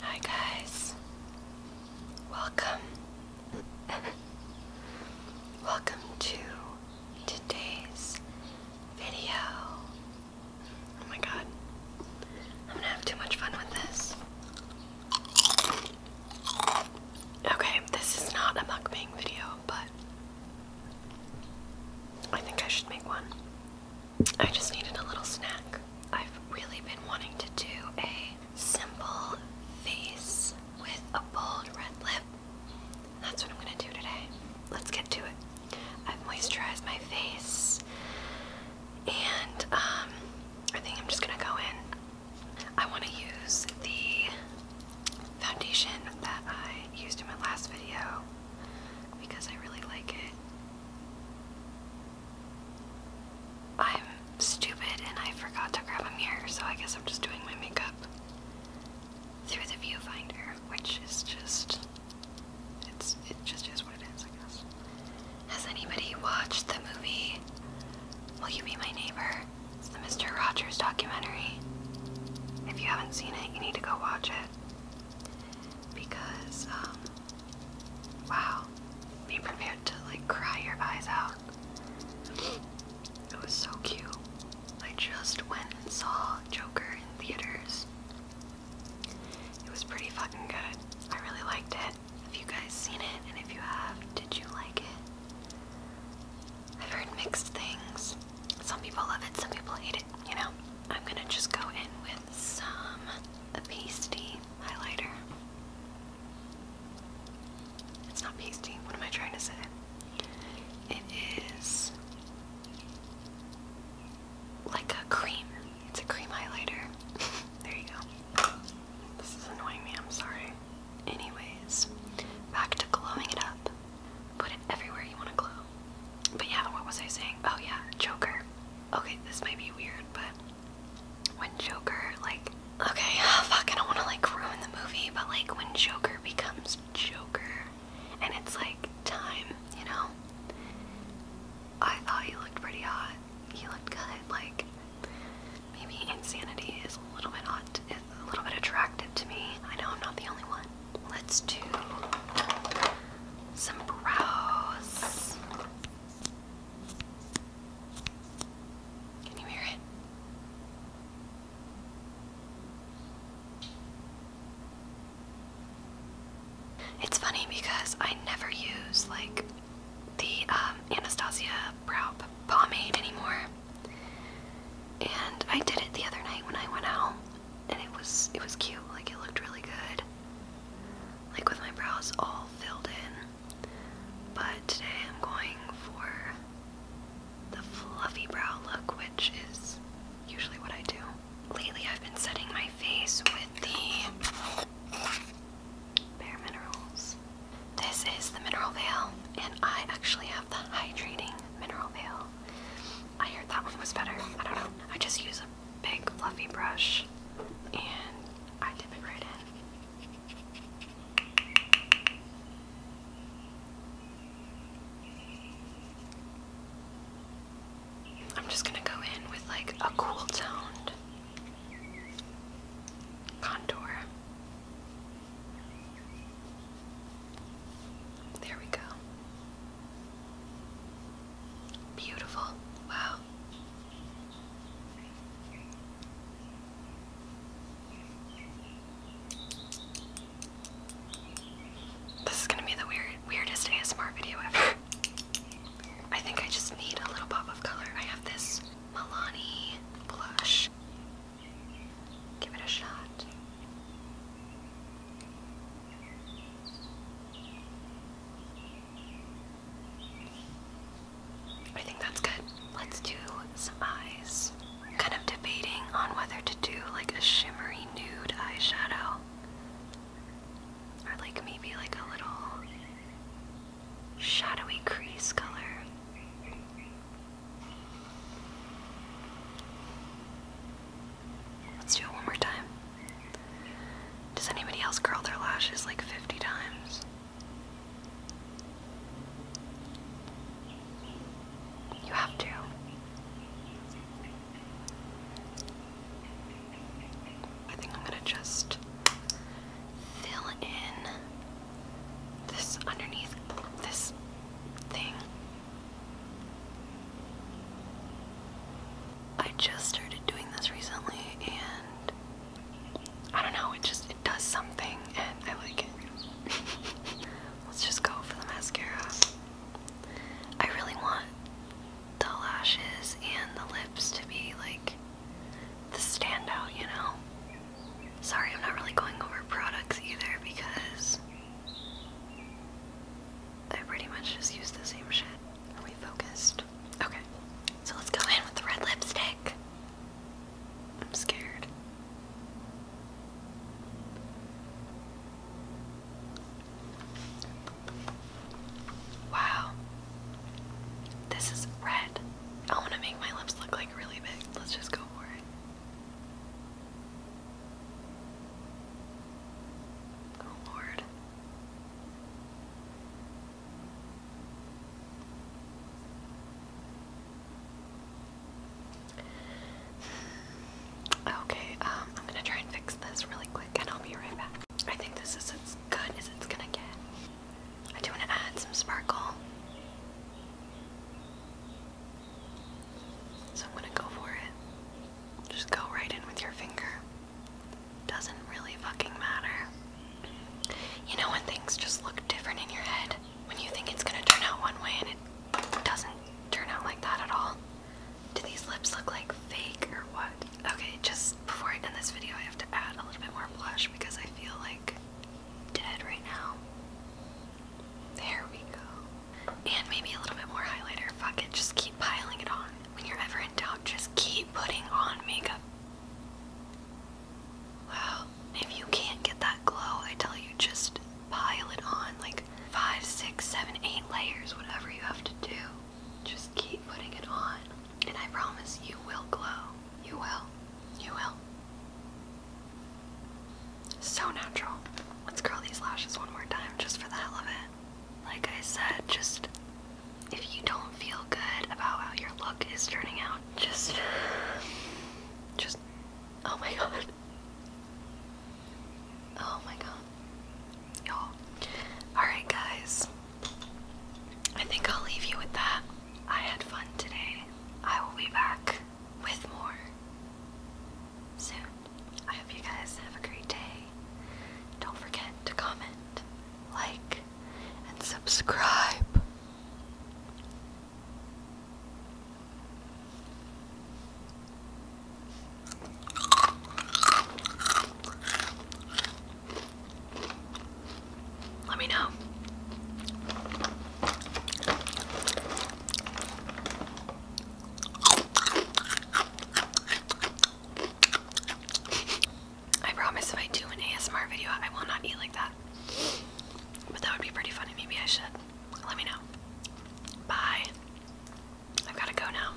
Hi guys. Welcome. Welcome to today's video. Oh my god. I'm gonna have too much fun with this. Okay, this is not a mukbang video, but I think I should make one. I just needed a little snack. I've really been wanting to do a simple face with a bold red lip. That's what I'm gonna do today. Let's get to it. I've moisturized my face and um, I think I'm just gonna go in. I wanna use the foundation that I used in my last video because I really like it. I'm stupid and I forgot to grab a mirror, so I guess I'm just doing my makeup through the viewfinder, which is just it's it just is what it is, I guess. Has anybody watched the movie Will You Be My Neighbor? It's the Mr. Rogers documentary. If you haven't seen it, you need to go watch it because um, wow, be prepared to like cry your eyes out. It was so cute. I just went and saw Joker in theaters. It was pretty fucking good. I really liked it. If you guys seen it? And if you have, did you like it? I've heard mixed things. Some people love it, some people hate it, you know? I'm gonna just go in with with some pasty highlighter. It's not pasty. What am I trying to say? It is like a cream. It's a cream highlighter. there you go. This is annoying me. I'm sorry. Anyways, back to glowing it up. Put it everywhere you want to glow. But yeah, what was I saying? Oh yeah, Joker. Okay, this might be weird, but when Joker, like, okay, fuck, I don't want to like ruin the movie, but like when Joker becomes Joker and it's like time, you know? I thought he looked pretty hot. He looked good. Like, maybe insanity is a little bit hot, It's a little bit attractive to me. I know I'm not the only one. Let's do some brows. Can you hear it? It's funny because I never use like the um, Anastasia brow pomade anymore. And I did it the other night when I went out and it was it was cute. Like it looked really good. Like with my brows all filled in. But today I'm going for the fluffy brow look, which is usually what I do. Lately I've been setting my face with the Bare Minerals. This is the mineral veil, and I actually have the hydrating mineral veil. I heard that one was better. I don't know. I just use a big fluffy brush and I dip it right in. I'm just gonna go in with like a cool toned contour. There we go. Beautiful. Wow. This is gonna be the weird, weirdest ASMR video ever. I think I just need a little pop of color. I have this Milani blush Give it a shot. I think that's good. Let's do some eyes. kind of debating on whether to do like a shimmery nude eyeshadow. Or like maybe like a little shadowy crease color. Let's do it one more time. Does anybody else curl their lashes like 50 times? You have to. I think I'm gonna just fill in this underneath this thing. I just started doing this recently and I don't know, it just it does something and I like it. Let's just go for the mascara. I really want the lashes and the lips to be like the standout, you know? Sorry, I'm not really going over products either because I pretty much just use the same shit. Are we focused? Okay, so let's go in with the red lipstick. I'm scared. Wow. This is red. I want to make my lips look like really big. Let's just go for it. Oh Lord. Okay, um, I'm gonna try and fix this really quick and I'll be right back. I think this is as good as it's gonna get. I do want to add some sparkle. So I'm gonna go for it. Just go right in with your finger. Doesn't really fucking matter. You know when things just look different in your head? When you think it's gonna turn out one way and it doesn't turn out like that at all? Do these lips look like fake or what? Okay, just before I end this video, I have to add a little bit more blush because I feel like dead right now. There we go. And maybe a little bit more highlighter. Fuck it, just keep piling it on. When you're ever in doubt, just keep putting on makeup. Wow, if you can't get that glow, I tell you, just pile it on like five, six, seven, eight layers, whatever you have to do. Just keep putting it on, and I promise you will glow. You will. You will. So natural. Let's curl these lashes one more time just for the hell of it. Like I said, just if you don't feel good about how your look is turning out, just. Just. Oh my god. Oh my god y'all. Alright, guys. I think I'll leave you with that. I had fun today. I will be back with more soon. I hope you guys have a great day. Don't forget to comment, like, and subscribe. Let me know. I promise if I do an ASMR video, I will not eat like that. But that would be pretty funny. Maybe I should. Let me know. Bye. I've got to go now.